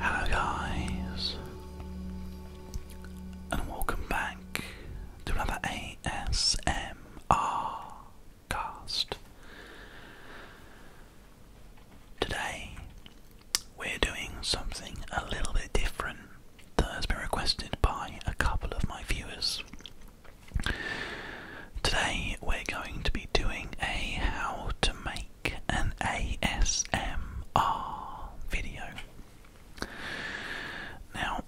Hello, guys, and welcome back to another ASMR cast. Today, we're doing something a little bit different that has been requested by a couple of my viewers. Today we're going to be doing a how to make an ASMR video. Now,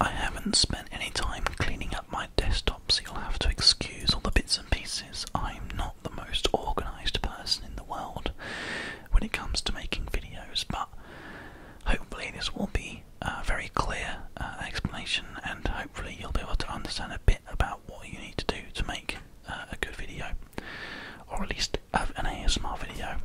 I haven't spent any time cleaning up my desktop, so you'll have to excuse all the bits and pieces. I'm not the most organised person in the world when it comes to making videos, but Hopefully, this will be a uh, very clear uh, explanation, and hopefully, you'll be able to understand a bit about what you need to do to make uh, a good video, or at least an ASMR video.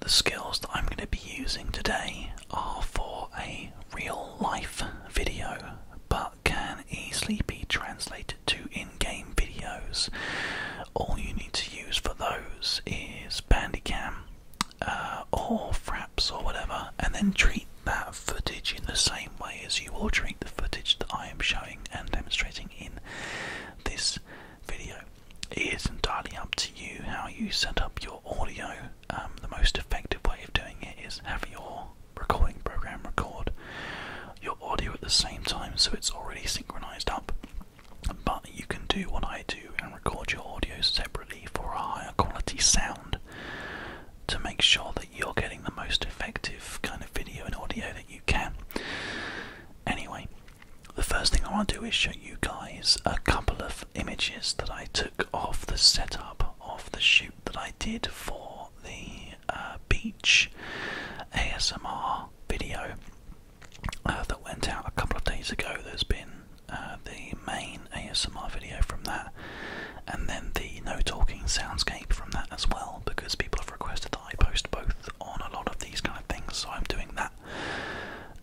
The skills that I'm going to be using today are for a real life video, but can easily be translated to game videos. All you need to use for those is Bandicam uh, or Fraps or whatever, and then treat that footage in the same way as you are treating the footage that I am showing and demonstrating in this video. It is entirely up to you how you set up your audio. Um, the most effective way of doing it is have your recording program record your audio at the same time so it's already synchronized up but you can do what I do and record your audio separately for a higher quality sound to make sure that you're getting the most effective kind of video and audio that you can. Anyway, the first thing I want to do is show you guys a couple of images that I took off the setup of the shoot that I did for the uh, beach ASMR video. Uh, that went out a couple of days ago. There's been uh, the main ASMR video from that, and then the no talking soundscape from that as well, because people have requested that I post both on a lot of these kind of things, so I'm doing that.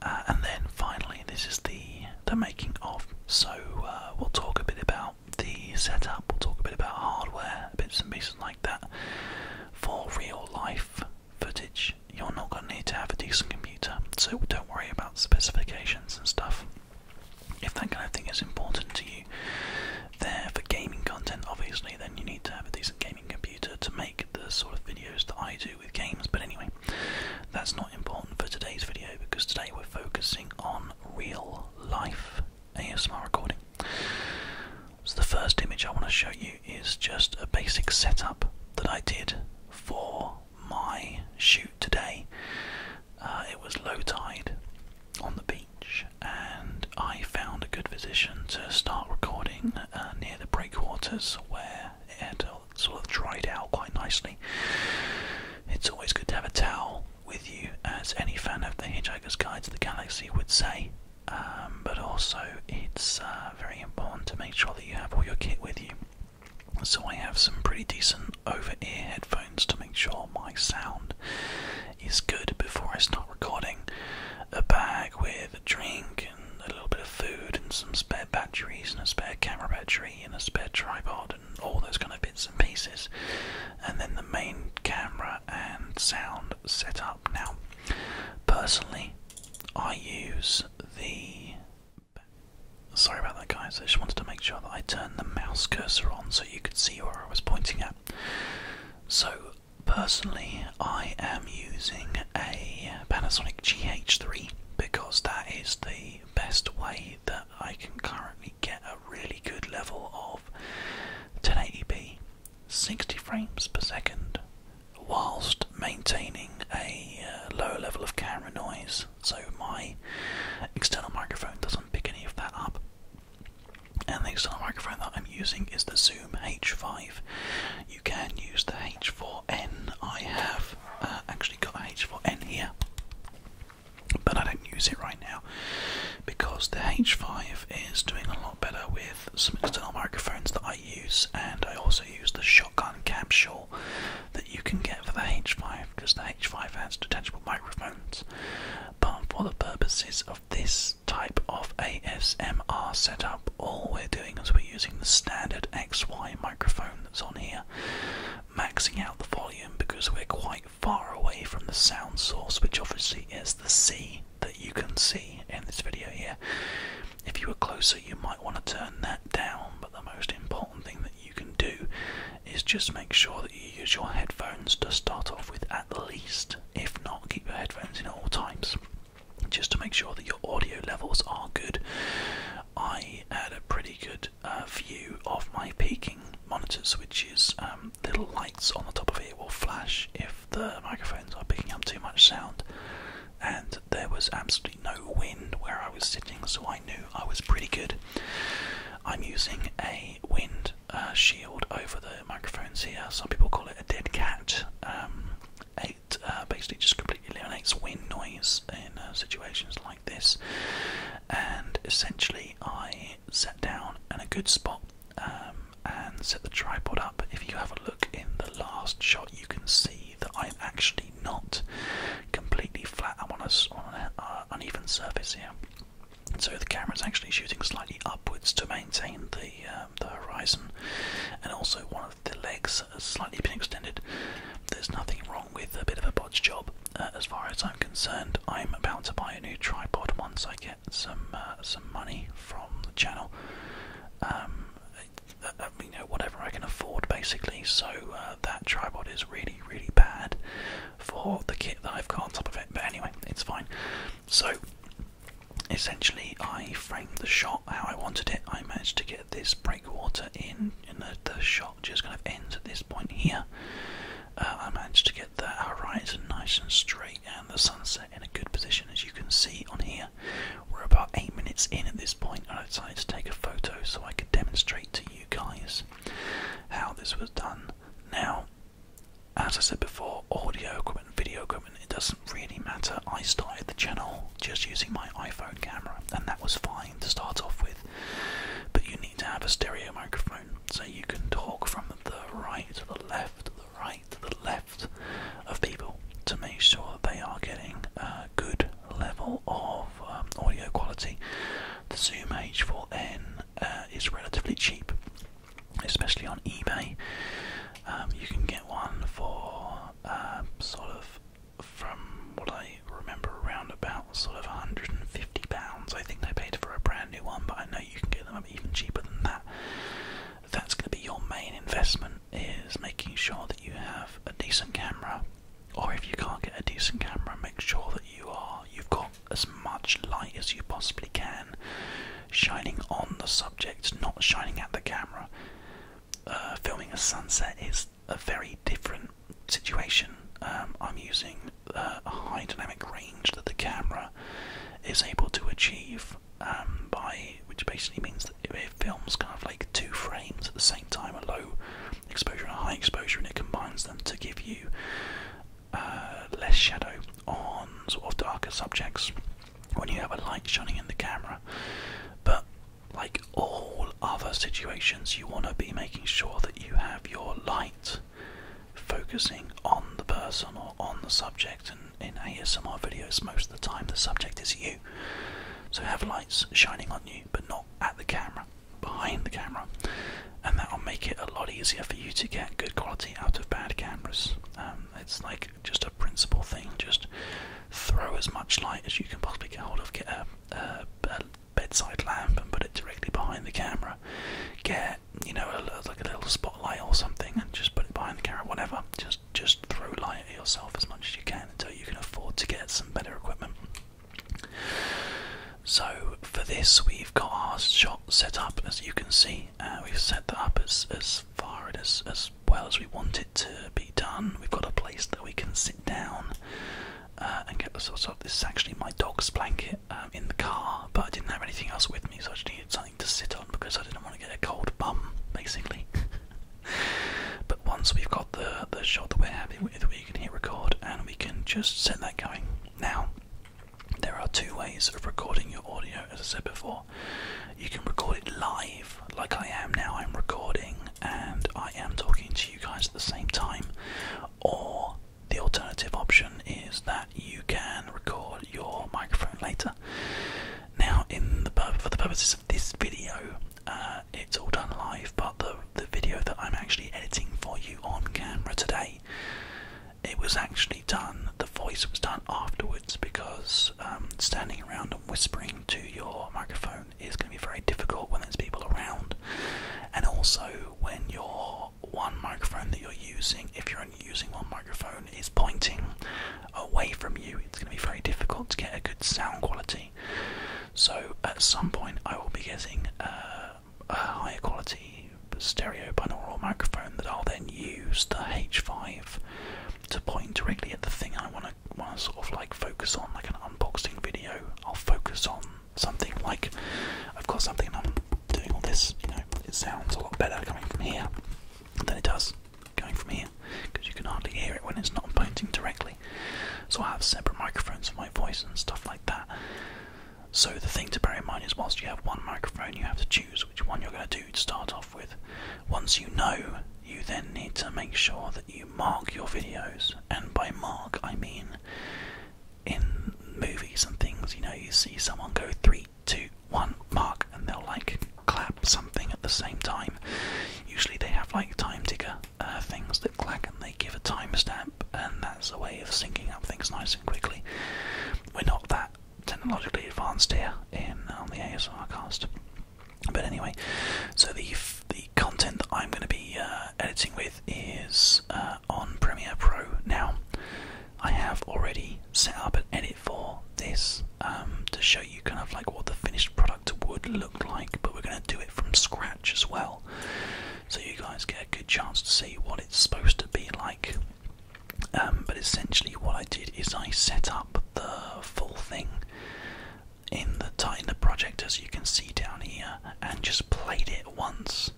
Uh, and then finally, this is the the making of. So we'll talk a bit about the setup. We'll talk a bit about hardware, bits and pieces like that for real life footage, you're not going to need to have a decent computer, so don't worry about specifications and stuff. If that kind of thing is important to you, there for gaming content, obviously, then you need to have a decent gaming computer to make the sort of videos that I do with games. But anyway, that's not important for today's video because today we're focusing on real life ASMR recording. So, the first image I want to show you is just a basic setup that I did for my shoot today. Uh, it was low tide on the beach, and I found a good position to start recording uh, near the breakwaters where it had sort of dried out quite nicely. It's always good to have a towel with you, as any fan of The Hitchhiker's Guide to the Galaxy would say, um, but also it's uh, very important to make sure that you have all your kit with you. So I have some pretty decent over ear headphones to make sure my sound is good before I start recording. A bag with a drink and a little bit of food and some spare batteries and a spare camera battery and a spare tripod and all those kind of bits and pieces. And then the main camera and sound setup. Now, Personally, I use the. Sorry about that, guys. I just wanted to make sure that I turned the mouse cursor on so you could see where I was pointing at. So, personally, I am using a Panasonic GH3 because that is the best way that I can currently get a really good level of 1080p 60 frames per second whilst maintaining a uh, low level of camera noise, so my external microphone doesn't pick any of that up. And the external microphone that I'm using is the Zoom H5. You can use the H4n. I have uh, actually got h 4 H4n here, but I don't use it right now because the H5 is doing a lot better with some external microphones that I use, and I also use the shotgun capsule that you can get for the H5 because the H5 has detachable microphones. But for the purposes of this type of ASMR setup, all we're doing is we're using the standard XY microphone that's on here, maxing out the volume because we're quite far away from the sound source, which obviously is the sea that you can see in this video here. If you are closer, you might want to turn that down, but the most important thing that you can do is just make sure that you use your headphones to start off with at the least, if not, keep your headphones in all times. Just to make sure that your audio levels are good. I had a pretty good uh, view of my peaking monitors, which is um, um, little lights on the top of it will flash if the microphones are picking up too much sound. And there was absolutely no wind where I was sitting, so I knew I was pretty good. I'm using a wind uh, shield over the microphones here. Some people call it a dead cat. Um, it uh, basically just completely eliminates wind noise in uh, situations like this. And essentially, I sat down in a good spot. Um, and set the tripod up. If you have a look in the last shot, you can see that I'm actually not completely flat. I'm on, a, on an uh, uneven surface here. So the camera is actually shooting slightly upwards to maintain the um, the horizon, and also one of the legs has slightly been extended. There's nothing wrong with a bit of a bodge job, uh, as far as I'm concerned. I'm about to buy a new tripod once I get some uh, some money from the channel. Um, you know, whatever I can afford, basically. So uh, that tripod is really, really bad for the kit that I've got on top of it. But anyway, it's fine. So essentially, I framed the shot how I wanted it. I managed to get this breakwater in, and the, shot just kind of ends at this point here. Uh, I managed to get the horizon nice and straight and the sunset in a good position, as you can see on here. We're about eight minutes in at this point, point. I decided to take a photo so I could demonstrate to you guys how this was done. Now, as I said before, audio equipment, video equipment, it doesn't really matter. I started the channel just using my iPhone camera, and that was fine to start off with. But you need to have a stereo microphone so you can talk from the right to the left, to the right to the left of people to make sure that they are getting a good level of um, audio quality. The Zoom H4n uh, is relatively cheap, especially on eBay. Um, you can get one for um, sort of from what I remember around about sort of 150 pounds. I think they paid for a brand new one, but I know you can get them even cheaper than that that's going to be your main investment is making sure that you have a decent camera or if you can't get a decent camera make sure that you are you've got as much light as you possibly can shining on the subject not shining at the camera uh, filming a sunset is a very different situation um, i'm using uh, a high dynamic range that the camera is able to achieve um, by which basically means that it films kind of like two frames at the same time, a low exposure and a high exposure, and it combines them to give you uh, less shadow on sort of darker subjects when you have a light shining in the camera. But like all other situations, you want to be making sure that you have your light focusing on the person or on the subject. And in ASMR videos, most of the time, the subject is you. So have lights shining on you, but not at the camera, behind the camera. And that will make it a lot easier for you to get good quality out of bad cameras. Um, it's like just a principle thing. Just throw as much light as you can possibly get hold of. Get a bedside lamp and put it directly behind the camera. Get you know, like a little spotlight or something, and just put it behind the camera, whatever. Just just throw light at yourself as much as you can until you can afford to get some better equipment. So for this, we've got our shot set up, as you can see. Uh, we've set that up as as far and as as well as we want it to be done. We've got a place that we can sit down. Uh, and get the sort of this is actually my dog's blanket um, in the car, but I didn't have anything else with me, so I just something to sit on because I didn't want to get a cold bum, basically. but once we've got the the shot that we're happy with, we can hit record and we can just set that going. Now, there are two ways of recording your audio, as I said before. You can record it live, like I am now. I'm recording and I am talking to you guys at the same time, or the alternative option is that you can record your microphone later. Now, for the purposes of this video, uh, it's all done live, but the the video that I'm actually editing for you on camera today, it was actually done. The voice was done afterwards because um, standing around and whispering to your microphone is going to be very difficult when there's people around, and also when you're one microphone that you're using, if you're only using one microphone, is pointing away from you, it's going to be very difficult to get a good sound quality. So at some point, I will be getting uh, a higher quality stereo binaural microphone that I'll then use the H5 to point directly at the thing I want to want to sort of like focus on, like an unboxing video. I'll focus on something like I've got something and I'm doing all this, you know it sounds a lot better coming from here than it does going from here because you can hardly hear it when it's not pointing directly. So I have separate microphones for my voice and stuff like that. So the thing to bear in mind is whilst you have one microphone, you have to choose which one you're going to do to start off with. Once you know, you then need to make sure that you mark your videos, and by mark I mean in movies and things, you know, you see someone go three to one mark, and they'll like clap something at the same time. Usually they have like time ticker uh, things that clack and they give a timestamp, and that's a way of syncing up things nice and quickly. We're not that technologically advanced here in on the ASR cast. But anyway, so the the content that I'm going to be uh, editing with is uh, on Premiere Pro now, I have already set up an edit for this um, to show you kind of like what the finished product would look like, but we're going to do it from scratch as well, so you guys get a good chance to see what it's supposed to be like. Um, but essentially, what I did is I set up the full thing in the in the project as you can see down here, and just played it once.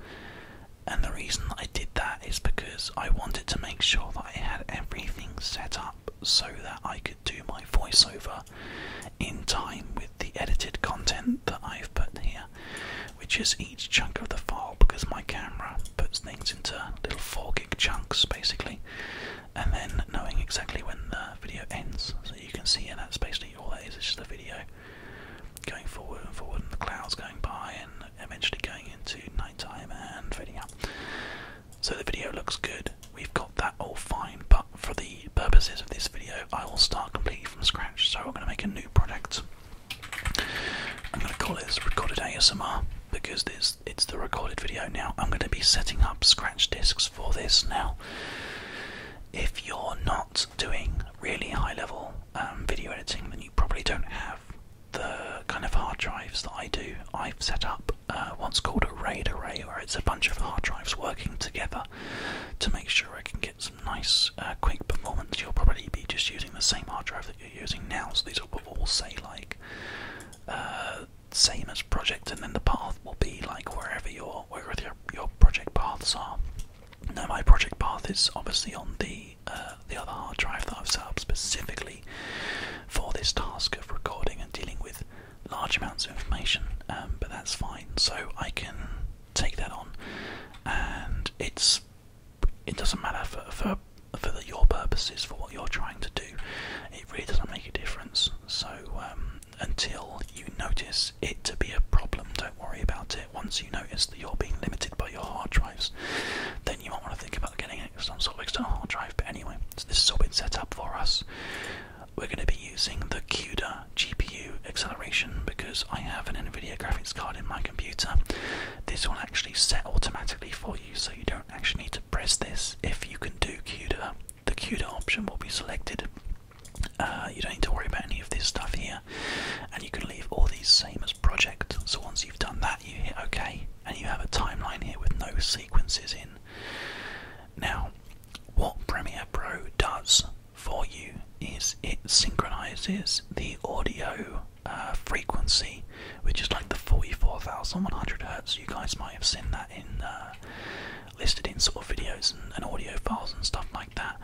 And the reason I did that is because I wanted to make sure that I had everything set up so that I could do my voiceover in time with the edited content that I've put here, which is each chunk of the file because my camera puts things into little 4 gig chunks basically, and then knowing exactly when the video ends. So you can see, and that's basically all that is, it's just the video going forward and forward, and the clouds going by, and eventually going into nighttime and fading out. So the video looks good. We've got that all fine, but for the purposes of this video, I will start completely from scratch. So I'm going to make a new product. I'm going to call it recorded ASMR because this it's the recorded video now. I'm going to be setting up scratch discs for this now. If you're not doing really high level um, video editing, then you probably don't have the kind of hard drives that I do, I've set up uh, what's called a RAID array, where it's a bunch of hard drives working together to make sure I can get some nice, uh, quick performance. You'll probably be just using the same hard drive that you're using now, so these will all say like uh, same as project, and then the path will be like wherever your wherever your, your project paths are. Now my project path is obviously on the uh, the other hard drive that I've set up specifically for this task of recording and dealing with large amounts of information. Um, but that's fine. So I can take that on, and it's it doesn't matter for for for your purposes for what you're trying to do. It really doesn't make a difference. So um, until you notice it to be a problem, don't worry about it. Once you notice that you're being limited by your hard drives, then you might want to think about getting some sort of external hard drive. But anyway, this has all been set up for us. We're going to be using the CUDA GPU acceleration because I have an NVIDIA graphics card in my computer. This will actually set automatically for you, so you don't actually need to press this if you can do CUDA. The CUDA option will be selected. Uh, you don't need to worry about any of this stuff here and you can leave all these same as project so once you've done that you hit ok and you have a timeline here with no sequences in now what premiere pro does for you is it synchronizes the audio uh, frequency which is like the 44100 hertz you guys might have seen that in uh, listed in sort of videos and, audio files and stuff like that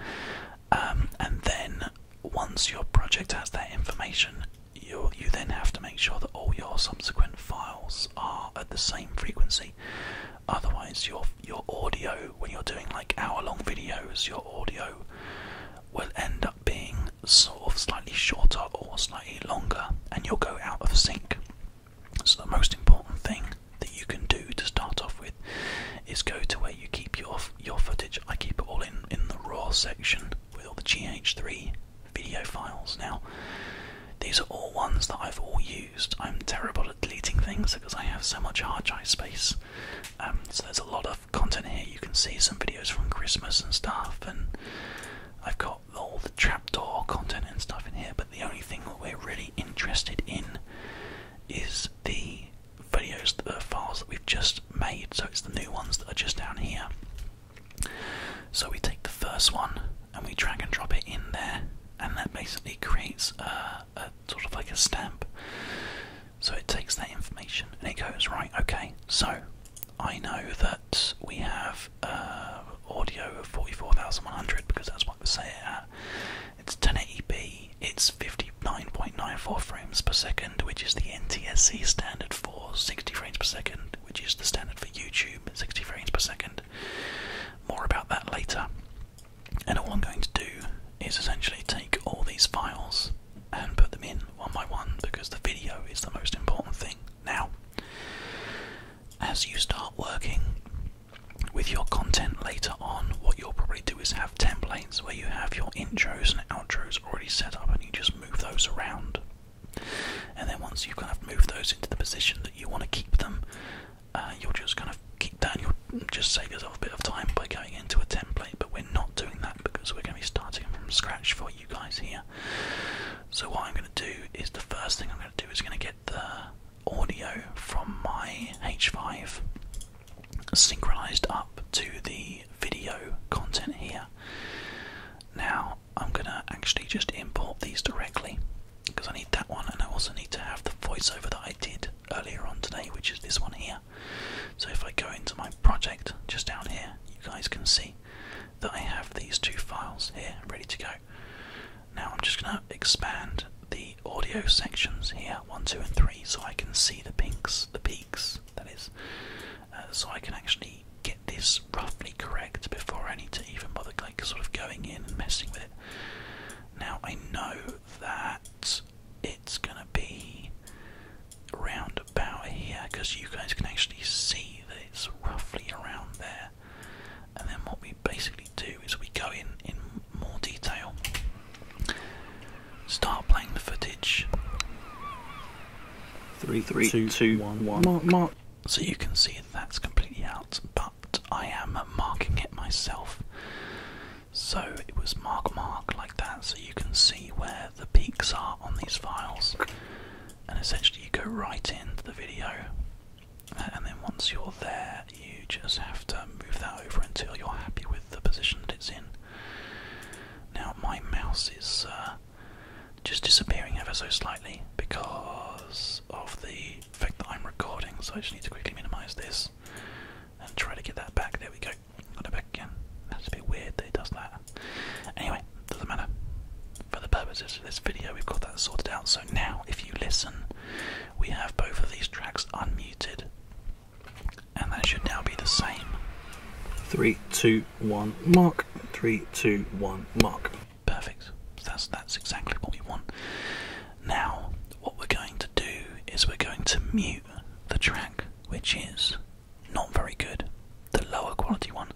um, and then once your project has that information, you you then have to make sure that all your subsequent files are at the same frequency. Otherwise, your your audio when you're doing like hour-long videos, your audio will end up being sort of slightly shorter or slightly longer, and you'll go out of sync. So the most important thing that you can do to start off with is go to where you keep your your footage. I keep it all in in the raw section with all the GH3 video files. Now, these are all ones that I've all used. I'm terrible at deleting things because I have so much hard drive space. Um, so there's a lot of content here. You can see some videos from Christmas and stuff, and I've got all the trapdoor content and stuff in here. But the only thing that we're really interested in is the videos, the uh, files that we've just made. So it's the new ones that are just down here. So we take the first one and we drag and drop it in there, and that basically creates a, sort of like a stamp. So it takes that information and it goes right. Okay, so I know that we have uh, audio of forty-four thousand one hundred because that's what we say it at. It's ten eighty p it's 59.94 frames per second, which is the NTSC standard for 60 frames per second, which is the standard for YouTube, 60 frames per second. More about that later. And all I'm going to do is essentially take all these files and put them in one by one because the video is the most important thing. Now, as you start working with your content later on, what you'll probably do is have templates where you have your intros and outros already set up and you just move those around. And then once you kind of move those into the position that you want to keep them, uh, you'll just kind of keep that you'll just save yourself a bit of time by going into a template. But we're not doing that because we're going to be starting from scratch for you guys here. So, what I'm going to do is the first thing I'm going to do is going to get the audio from my H5 synchronized up to the video content here. Now I'm gonna actually just import these directly because I need that one and I also need to have the voiceover that I did earlier on today, which is this one here. So if I go into my project just down here, you guys can see that I have these two files here ready to go. Now I'm just gonna expand the audio sections here, one, two, and three, so I can see the peaks, the peaks, that is. Uh, so I can actually get this roughly correct before I need to even bother sort of going in and messing with it. Now I know that it's gonna be round about here because you guys can actually see that it's roughly around there. And then what we basically do is we go in in more detail Start playing the footage. Three, three, two, two one, one. Mark, mark. So you can see that's completely out, but I am marking it myself. So it was mark, mark like that, so you can see where the peaks are on these files. And essentially, you go right into the video, and then once you're there, you just have to move that over until you're happy with the position that it's in. Now my mouse is uh, just disappearing ever so slightly because of the fact that I'm recording, so I just need to quickly minimise this and try to get that back. There we go. Got it back again. That's a bit weird it does that. Anyway, doesn't matter. For the purposes of this video, we've got that sorted out. So now, if you listen, we have both of these tracks unmuted. And that should now be the same. 3, 2, 1, mark. 3, 2, 1, mark. Perfect. That's, that's exactly what we want. Now, what we're going to do is we're going to mute the track, which is not very good, the lower quality one,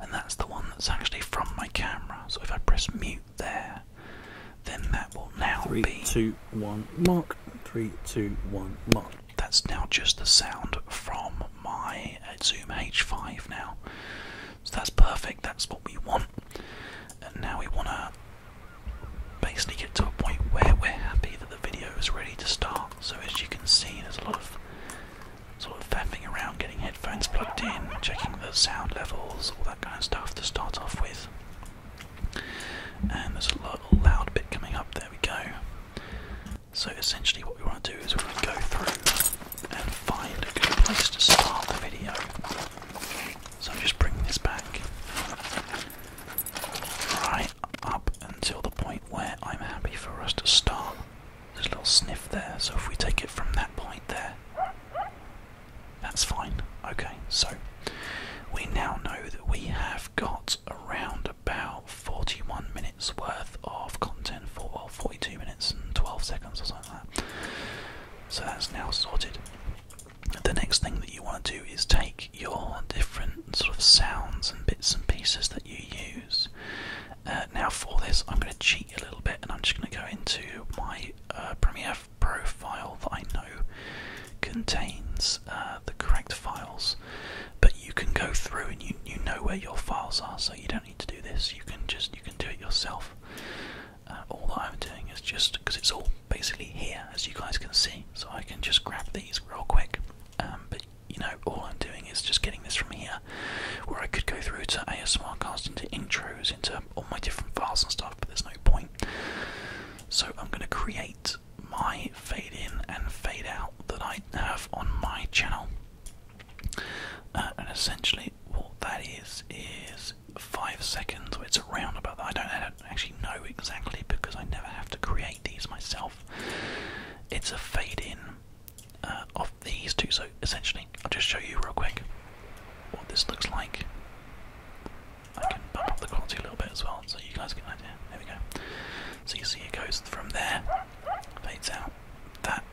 and that's the one that's actually from my camera. So if I press mute there, then that will now Three, be. 2, 1, mark. 3, 2, 1, mark that's now just the sound from my uh, Zoom H5 now. So that's perfect, that's what we want. And now we want to basically get to a point where we're happy that the video is ready to start. So as you can see, there's a lot of sort of fapping around, getting headphones plugged in, checking the sound levels, all that kind of stuff to start off with. And there's a lot loud bit coming up, there we go. So essentially what we want to do is we're going to go through and find a good place to start the video. So I'm just bringing this back right up until the point where I'm happy for us to start. There's a little sniff there, so if we take it from that point there, that's fine. Okay, so we now know that we have got around about 41 minutes worth of content for 42 minutes and 12 seconds or something like that. So that's now sorted. The next thing that you want to do is take your different sort of sounds and bits and pieces that you use. Uh, now, for this, I'm going to cheat a little bit and I'm just going to go into my uh, Premiere profile that I know contains uh, the correct files, but you can go through and you you know where your files are, so you don't need to do this. You can just you can do it yourself. Uh, all that I'm doing is just because it's all basically here, as you guys can see, so I can just grab these real quick. Um, but you know, all I'm doing is just getting this from here, where I could go through to ASMRcast, into intros, into all my different files and stuff, but there's no point. So I'm going to create my fade in and fade out that I have on my channel. Uh, and essentially, what that is is five seconds. or It's a roundabout. that. I don't, actually know exactly because I never have to create these myself. It's a fade in uh, of these two. So essentially, I'll just show you real quick what this looks like. I can bump up the quality a little bit as well, so you guys get an idea. There we go. So you see it goes from there, fades out, that,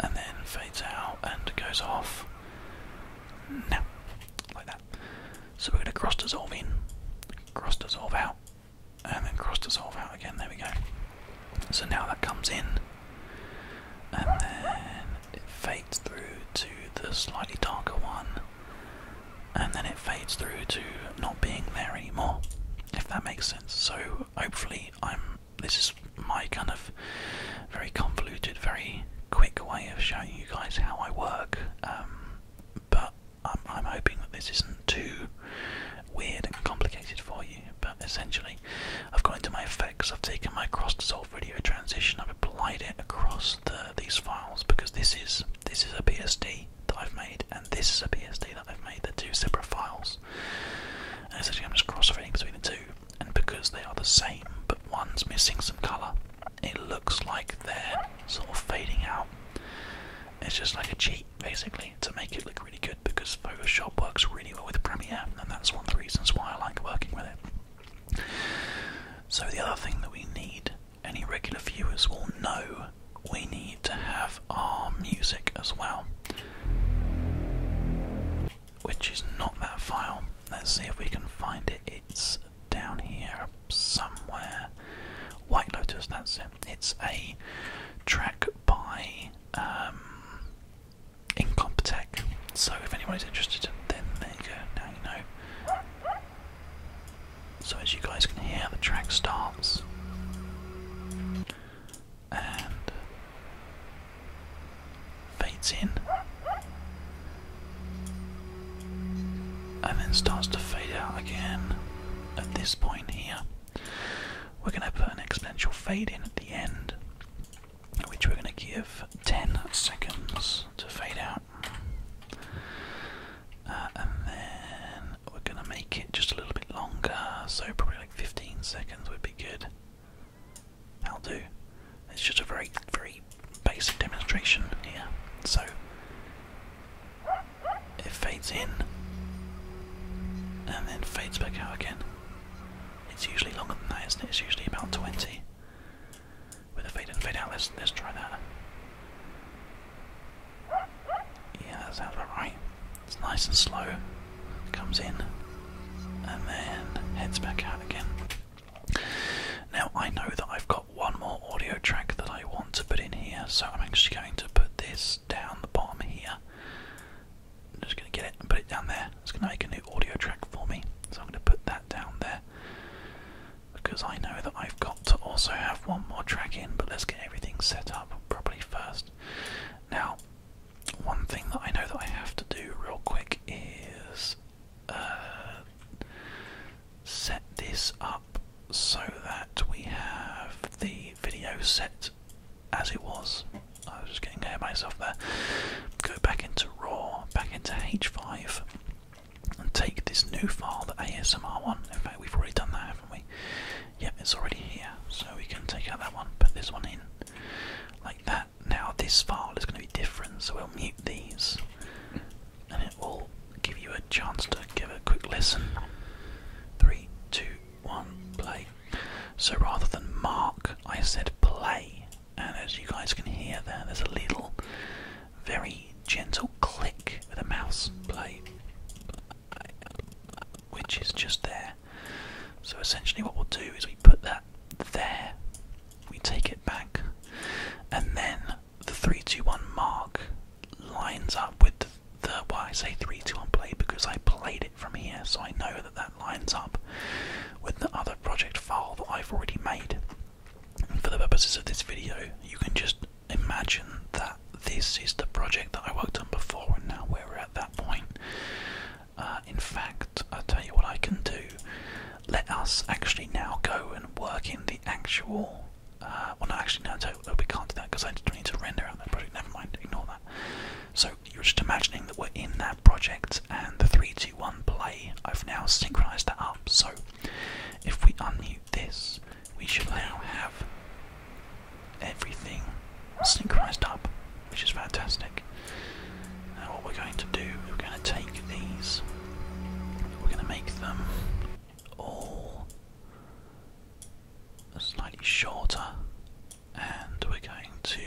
and then fades out and goes off. Now, like that. So we're going to cross dissolve in, cross dissolve out, and then cross dissolve out again. There we go. So now that comes in, and then it fades through to the slightly darker one, and then it fades through to not being there anymore, if that makes sense. So hopefully I'm this is my kind of very convoluted, very quick way of showing you guys how I work. Um, but I'm, I'm hoping that this isn't too weird and complicated for you. But essentially, I've gone into my effects, I've taken my cross dissolve video transition, I've applied it across the uh, these files because this is this is a PSD that I've made and this is a PSD that I've made. They're two separate files. And essentially, I'm just cross-referencing between the two, and because they are the same but one's missing some colour, it looks like they're sort of fading out. It's just like a cheat, basically, to make it look really good because Photoshop works really well with Premiere, and that's one of the reasons why I like working with it. So, the other thing that we need any regular viewers will know we need to have our music as well. Which is not that file. Let's see if we can find it. It's down here somewhere. White Lotus, that's it. It's a track by um, So if anyone is interested, then they you go. Now you know. So as you guys can hear, the track starts. And fades in. And then starts to fade out again at this point here. We're going to put an exponential fade in at the end, which we're going to give 10 seconds to fade out. Uh, and then we're gonna make it just a little bit longer, so probably like 15 seconds would be good. That'll do. It's just a very, very basic demonstration here. So it fades in and then fades back out again. It's usually longer than that, isn't it? It's usually about 20 with a fade in fade out. Let's let's try that. Yeah, that sounds about right. It's nice and slow. Comes in and then heads back out again. Now I know that I've got one more audio track that I want to put in here, so I'm actually going to put this down the bottom here. just going to get it and put it down there. It's going to make a new audio track for me, so I'm going to put that down there because I know that I've got to also have one more track in, but let's get everything set up properly first. Now, one thing that I know that I have to do real quick is uh, set this up so that we have the video set as it was. I was just getting ahead of myself there. Go back into RAW, back into H5 and take this new file, the ASMR one. In fact, we've already done that, haven't we? Yep, it's already here, so we can take out that one, put this one in like that. Now, this file is going to be different, so we'll mute these and it will give you a chance to give a quick listen. Three, two, one, play. So rather than mark, I said play, and as you guys can hear there's a little very gentle click with a mouse play, which is just there. So essentially, what we'll do is we put that there, we take it back, and then the 321 mark lines up with the, why I say 321 play because I played it from here, so I know that that lines up with the other project file that I've already made for the purposes of this video, you can just imagine that this is the project that I worked on before, and now we're at that point. Uh, in fact, I'll tell you what I can do. Let us actually now go and work in the actual. Uh, well, no, actually, no, So we can't do that because I just need to render out that project. Never mind, ignore that. So, you're just imagining that we're in that project and the three, two, one, play, I've now synchronized it up. So if we unmute this, we should now have everything synchronized up, which is fantastic. Now what we're going to do, is we're going to take these, we're going to make them all slightly shorter, and we're going to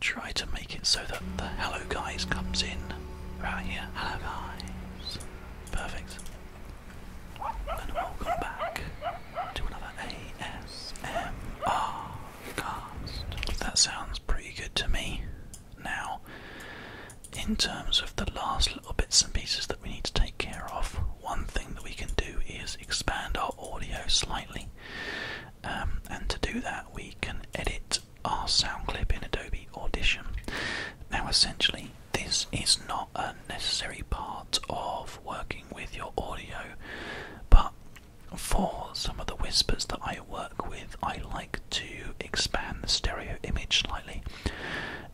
try to make it so that the hello guys comes in right here. Hello guys. Perfect. And welcome back to another ASMR cast. That sounds pretty good to me. Now, in terms of the last little bits and pieces that we need to take care of, one thing that we can do is expand our audio slightly. Um, and to do that, we can edit our sound clip in Adobe Audition. Now essentially this is not a necessary part of working with your audio, but for some of the whispers that I work with, I like to expand the stereo image slightly.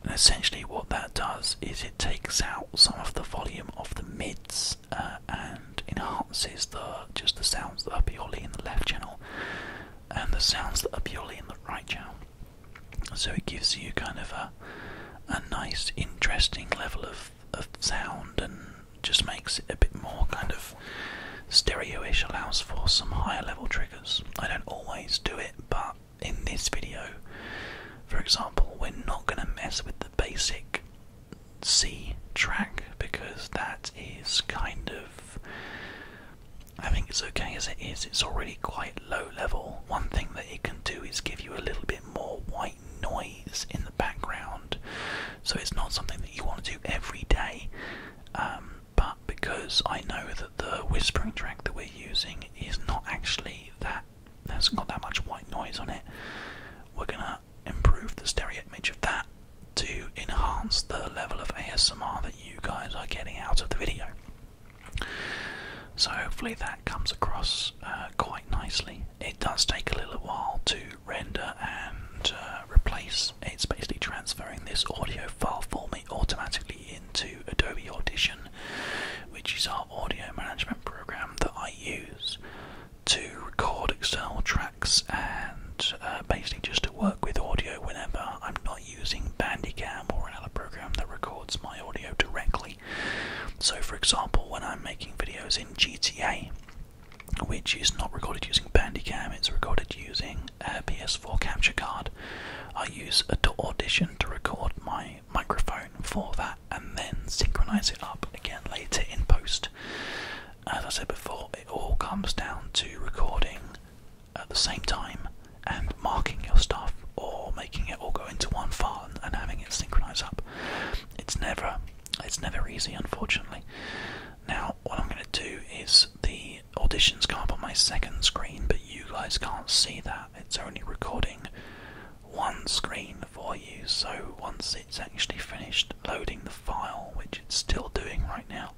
And essentially, what that does is it takes out some of the volume of the mids uh, and enhances the just the sounds that are purely in the left channel and the sounds that are purely in the right channel. So it gives you kind of a a nice, interesting level of of sound and just makes it a bit more kind of stereo-ish. Allows for some higher level triggers. I don't always do it, but in this video, for example, we're not going to mess with the basic C track because that is kind of I think it's okay as it is, it's already quite low level. One thing that it can do is give you a little bit more white noise in the background, so it's not something that you want to do every day. Um, but because I know that the whispering track that we're using is not actually that, that's not that much white noise on it, we're gonna improve the stereo image of that to enhance the level of ASMR that you guys are getting out of the video. So hopefully that comes across uh, quite nicely. It does take a little while to render and uh, replace. It's basically transferring this audio file for automatically into Adobe Audition, which is our audio management program that I use to record external tracks and uh, basically just to work with audio whenever I'm not using Bandicam or another program that records my audio directly. So, for example, when I'm making videos in GTA, which is not recorded using Bandicam, it's recorded using a PS4 capture card. I use Audition to record my microphone for that and then synchronize it up again later in post as I said before, it all comes down to recording at the same time and marking your stuff or making it all go into one file and, having it synchronize up. It's never it's never easy unfortunately. Now what I'm gonna do is the auditions come up on my second screen but you guys can't see that. It's only recording one screen for you so once it's actually finished loading the file which it's still doing right now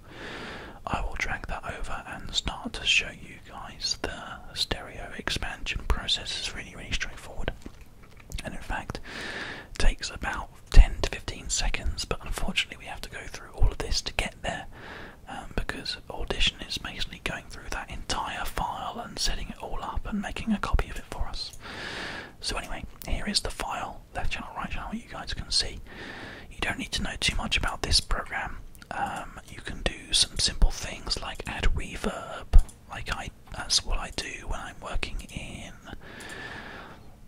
I will drag that over and start to show you guys the stereo expansion process. is really, really straightforward. And in fact, takes about 10 to 15 seconds, but unfortunately, we have to go through all of this to get there um, because Audition is basically going through that entire file and setting it all up and making a copy of it for us. So, anyway, here is the file left channel, right channel, you guys can see. You don't need to know too much about this program. Um, you can do some simple things like add reverb, like I that's what I do when I'm working in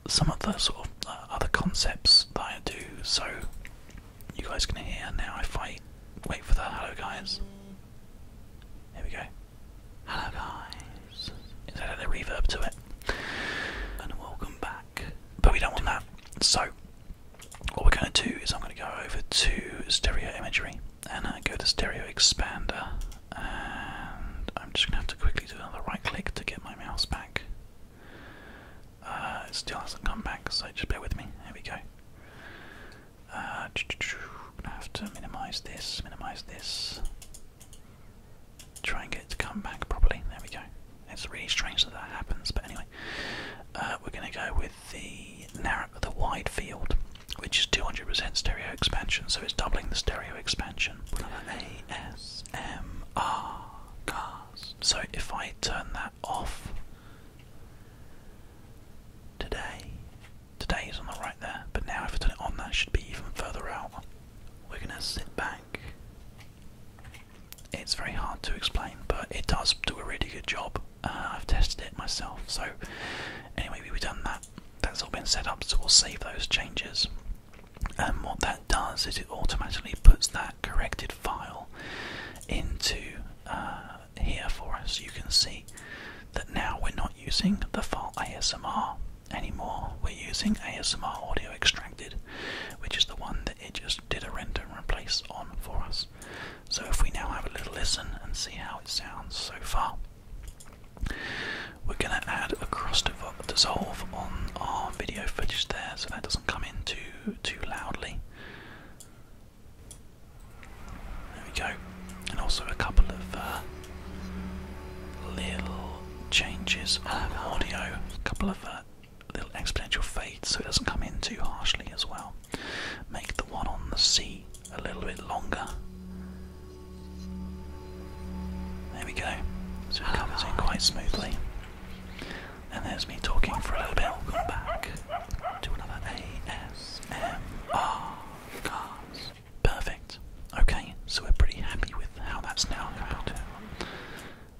some of the sort of uh, other concepts that I do. So you guys can hear now if I wait for the hello guys. Here we go. Hello guys. Is that a reverb to it? And welcome back. But we don't want that. So what we're going to do is I'm going to go over to stereo imagery and I uh, go to stereo expander and I'm just going to have to quickly do another right click to get my mouse back. Uh, it still hasn't come back, so just bear with me. There we go. I'm going to have to minimize this, minimize this try and get it to come back properly. There we go. It's really strange that that happens, but anyway, uh, we're going to go with the narrow, the wide field, which is 200% stereo expansion, so it's doubling the stereo expansion. ASMR cars. So if I turn that off today, today is on the right there, but now if I turn it on, that should be even further out we're gonna sit back. It's very hard to explain, but it does do a really good job. Uh, I've tested it myself, so anyway, we've done that. That's all been set up, so we'll save those changes. And um, what that does is it automatically puts that corrected file into uh, here for us. You can see that now we're not using the file ASMR anymore. We're using ASMR Audio Extracted, which is the one that it just did a render and replace on for us. So if we now have a little listen and see how it sounds so far, we're going to add a cross dissolve on our video footage there so that doesn't come in too, too loudly. There we go, and also a couple of uh, little changes of audio, a couple of uh, little exponential fades so it doesn't come in too harshly as well. Make the one on the C a little bit longer. There we go. So it comes in quite smoothly. And there's me talking for a little bit. Welcome back to another ASMR Perfect. Okay, so we're pretty happy with how that's now going.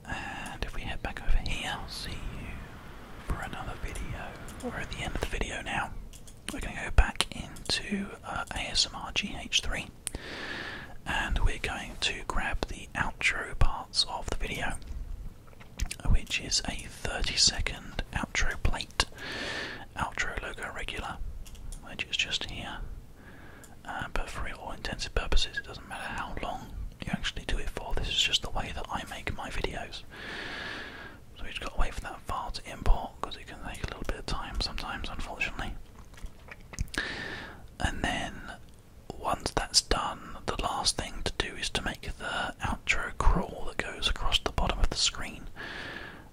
And if we head back over here, I'll see you for another video. We're at the end of the video now. We're going to go back into uh, ASMR GH3 and we're going to grab the outro parts of the video, which is a 30 second outro plate, outro logo regular, which is just here, uh, but for all intensive purposes, it doesn't matter how long you actually do it for. This is just the way that I make my videos. So we just got to wait for that file to import because it can take a little bit of time sometimes, unfortunately. And then once that's done, the last thing to do is to make the outro crawl that goes across the bottom of the screen,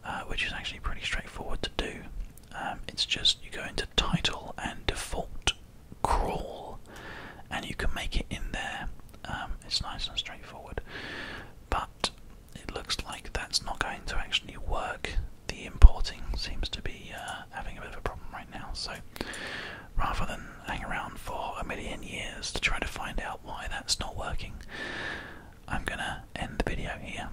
uh, which is actually pretty straightforward to do. Um, it's just you go into title and default crawl, and you can make it in there. Um, it's nice and straightforward, but it looks like that's not going to actually work. The importing seems to be uh, having a bit of a problem right now, so rather than hang around for a million years to try to find out why that's not working, I'm gonna end the video here.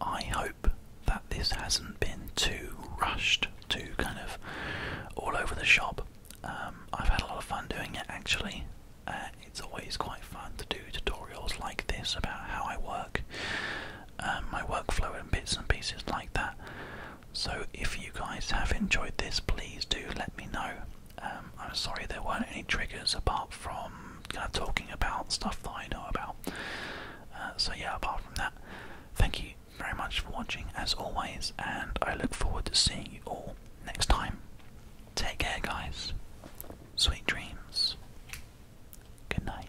I hope that this hasn't been too rushed, too kind of all over the shop. Um, I've had a lot of fun doing it actually. Uh, it's always quite fun to do tutorials like this about how I work, um, my workflow, and bits and pieces like that. So, if you guys have enjoyed this, please do let me know. Um, I'm sorry there weren't any triggers apart from talking about stuff that I know about. Uh, so yeah, apart from that, thank you very much for watching as always, and I look forward to seeing you all next time. Take care, guys. Sweet dreams. Good night.